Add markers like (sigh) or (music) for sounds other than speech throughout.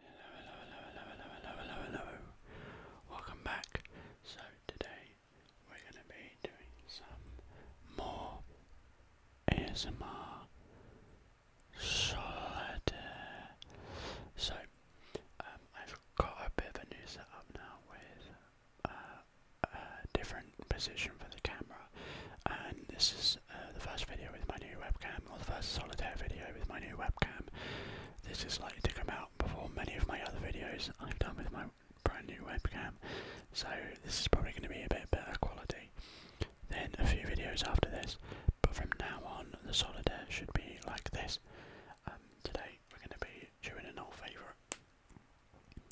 Hello, hello, hello, hello, hello, hello, hello, Welcome back. So today we're going to be doing some more ASMR solitaire. So I've got a bit of a new setup now with a different position for the camera, and this is the first video with my new webcam or first solitaire video with my new webcam. This is likely to come out before many of my other videos I've done with my brand new webcam, so this is probably going to be a bit better quality than a few videos after this. But from now on, the solitaire should be like this. Um, today we're going to be doing an old favourite,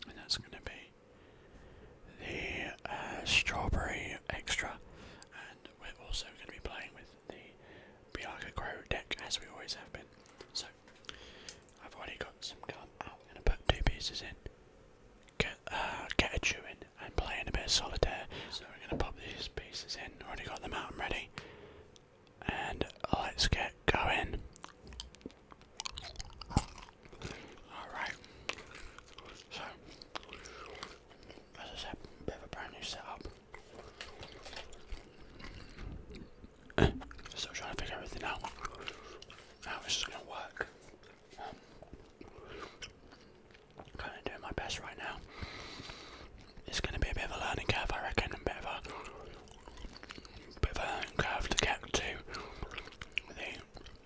and that's going to be the uh, strawberry extra we're also going to be playing with the Bianca Crow deck as we always have been. So, I've already got some gum out. I'm going to put two pieces in, uh, get, a chew in, and play in a bit of solitaire. So, we're going to pop these pieces in. Already got them out and ready. And let's get going. Alright. So, as I said, bit of a brand new setup. (clears throat) Still trying to figure everything out. How this is gonna work. Um, kind of doing my best right now. It's gonna be a bit of a learning curve, I reckon, and a bit of a bit of a learning curve to get to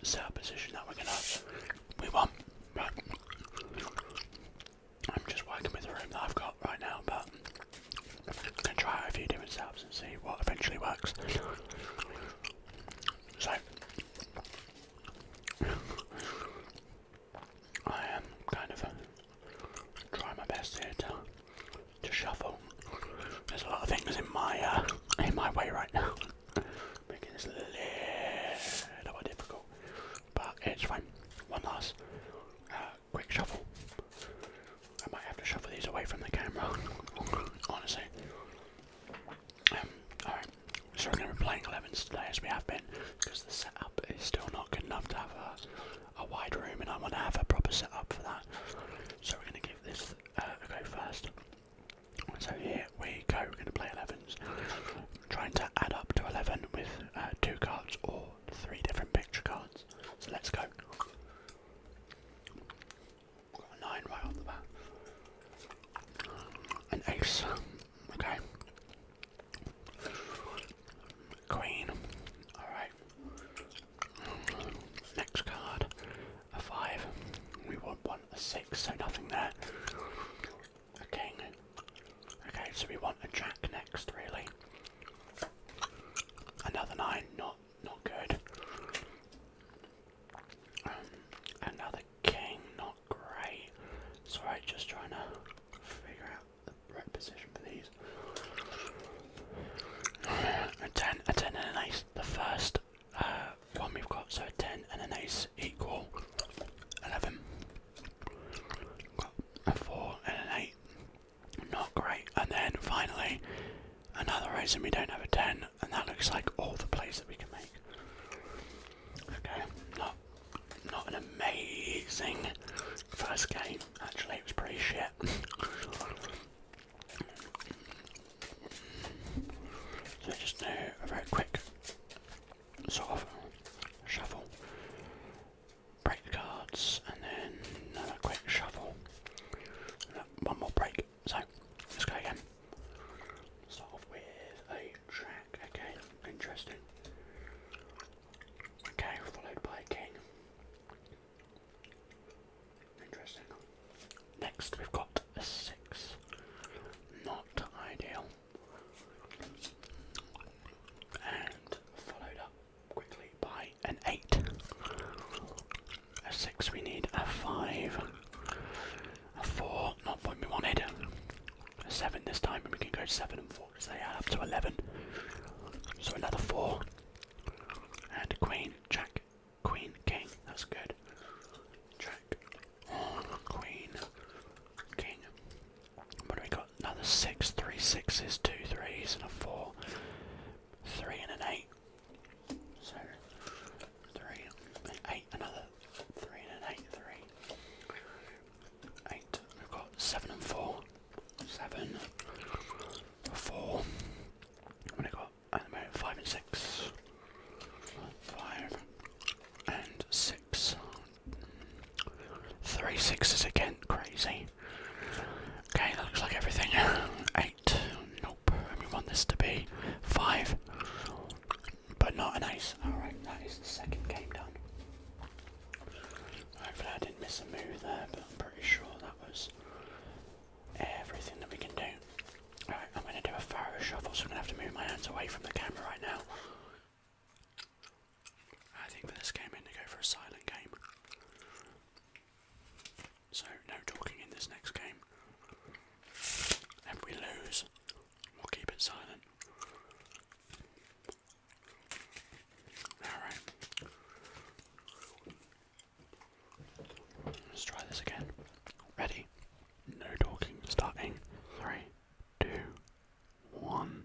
the setup position that we're gonna we want. I'm just working with the room that I've got right now, but I'm gonna try out a few different setups and see what eventually works. So I am kind of trying my best here to to shuffle. There's a lot of things in my uh, in my way right now, (laughs) making this a little bit difficult. But it's fine. One last uh, quick shuffle. I might have to shuffle these away from the camera, (laughs) honestly. Um, Alright, so we're going to be playing 11s today as we have been, because the setup is still not good enough to have a, wide room, and I want to have a proper setup for that. So we're going to give this uh, a go first. So here we go, we're going to play trying to add up to 11 with uh, two cards or three different picture cards. So let's go. Got a 9 right off the bat. An ace, okay. Queen, alright. Next card, a 5. We want one, a 6, so nothing there a king. Okay, so we want a jack next, really. Another nine, not not good. Um, another king, not great. So just trying to figure out the right position for these. (sighs) A ten, a ten, and an ace. The first uh, one we've got, so a ten and an ace equal eleven four and an eight. Not great. And then finally, another reason we don't have a ten, and that looks like all the plays that we can make. Okay, not not an amazing first game. Actually, it was pretty shit. (laughs) so just do very quick sort of shuffle, break the cards, and then another quick shuffle. One more break. So let's go again. Start off with a track. Okay, interesting. Okay, followed by a king. Interesting. Next, we've got a six. Not ideal and followed up quickly by an 8. A 6 we need, a 5, a 4, not what we wanted, a 7 this time and we can go 7 and 4 because they add up to 11. So another 4, and queen, jack, queen, king, that's good. Jack, queen, king, what have we got? Another six, three sixes, two threes, and a four, three and an eight. So three, eight, another three and an eight, three, eight. We've got seven and four, seven, four. What do got? five and six, five and six. Three sixes again, crazy. Okay, looks like everything. Eight, nope. we want this to be five, but not an ace. Alright, that is the second game done. Hopefully, I didn't miss a move there, but I'm pretty sure that was everything that we can do. Alright, I'm going to do a thorough shuffle, so I'm going to have to move my hands away from the camera right now. I think for this game we am to go for a silent game. So, no talking in this next game. If we lose, we'll keep it silent. Alright. Let's try this again. Ready? No talking. Starting. Three, two, one.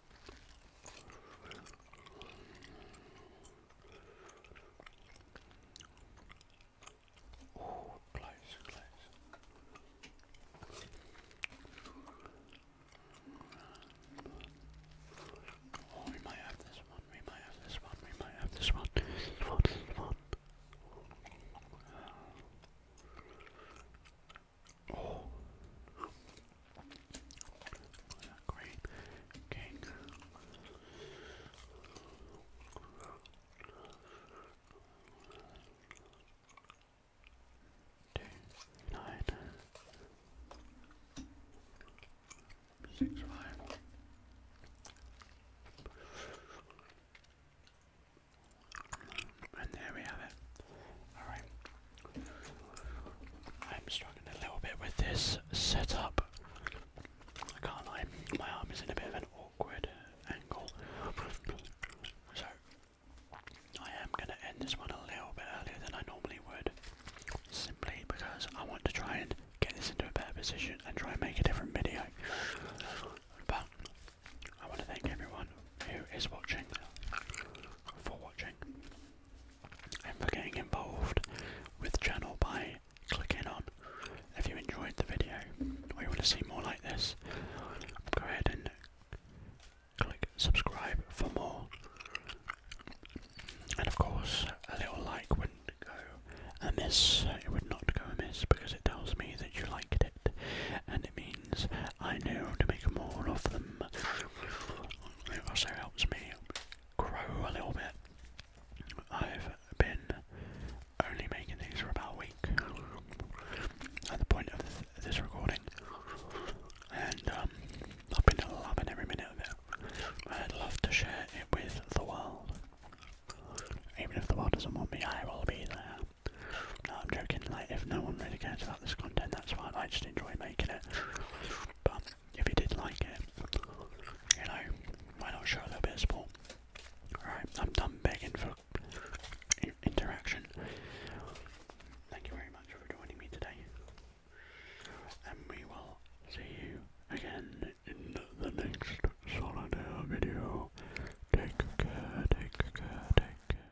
Oh, close, close. Oh, we might have this one, we might have this one, we might have this one, this one, this one. Uh, Oh. Great cake. Two, nine, six, five. And there we have it. Alright. I'm struggling a little bit with this setup. I can't lie, my arm is in a bit of an awkward angle. So, I am going to end this one a little bit earlier than I normally would. Simply because I want to try and get this into a better position and try and make a different video. But I want to thank everyone who is watching for watching and for getting involved with the channel by clicking on. If you enjoyed the video or you want to see more like this, go ahead and click subscribe for more. And of course, a little like wouldn't go amiss, it would not go amiss because it tells me that you liked it and it means I know to make more of them. It also helps me grow a little bit. I've been only making these for about a week at the point of this recording, and um, I've been loving every minute of it. I'd love to share it with the world. Even if the world doesn't want me, I will be there. No, I'm joking. Like, if no one really cares about this content, that's fine. I just enjoy making it. But if you did like it, you know, why not show a little bit of support? Alright, I'm done begging for interaction. Thank you very much for joining me today. And we will see you again in the next solitaire video. Take care, take care, take care.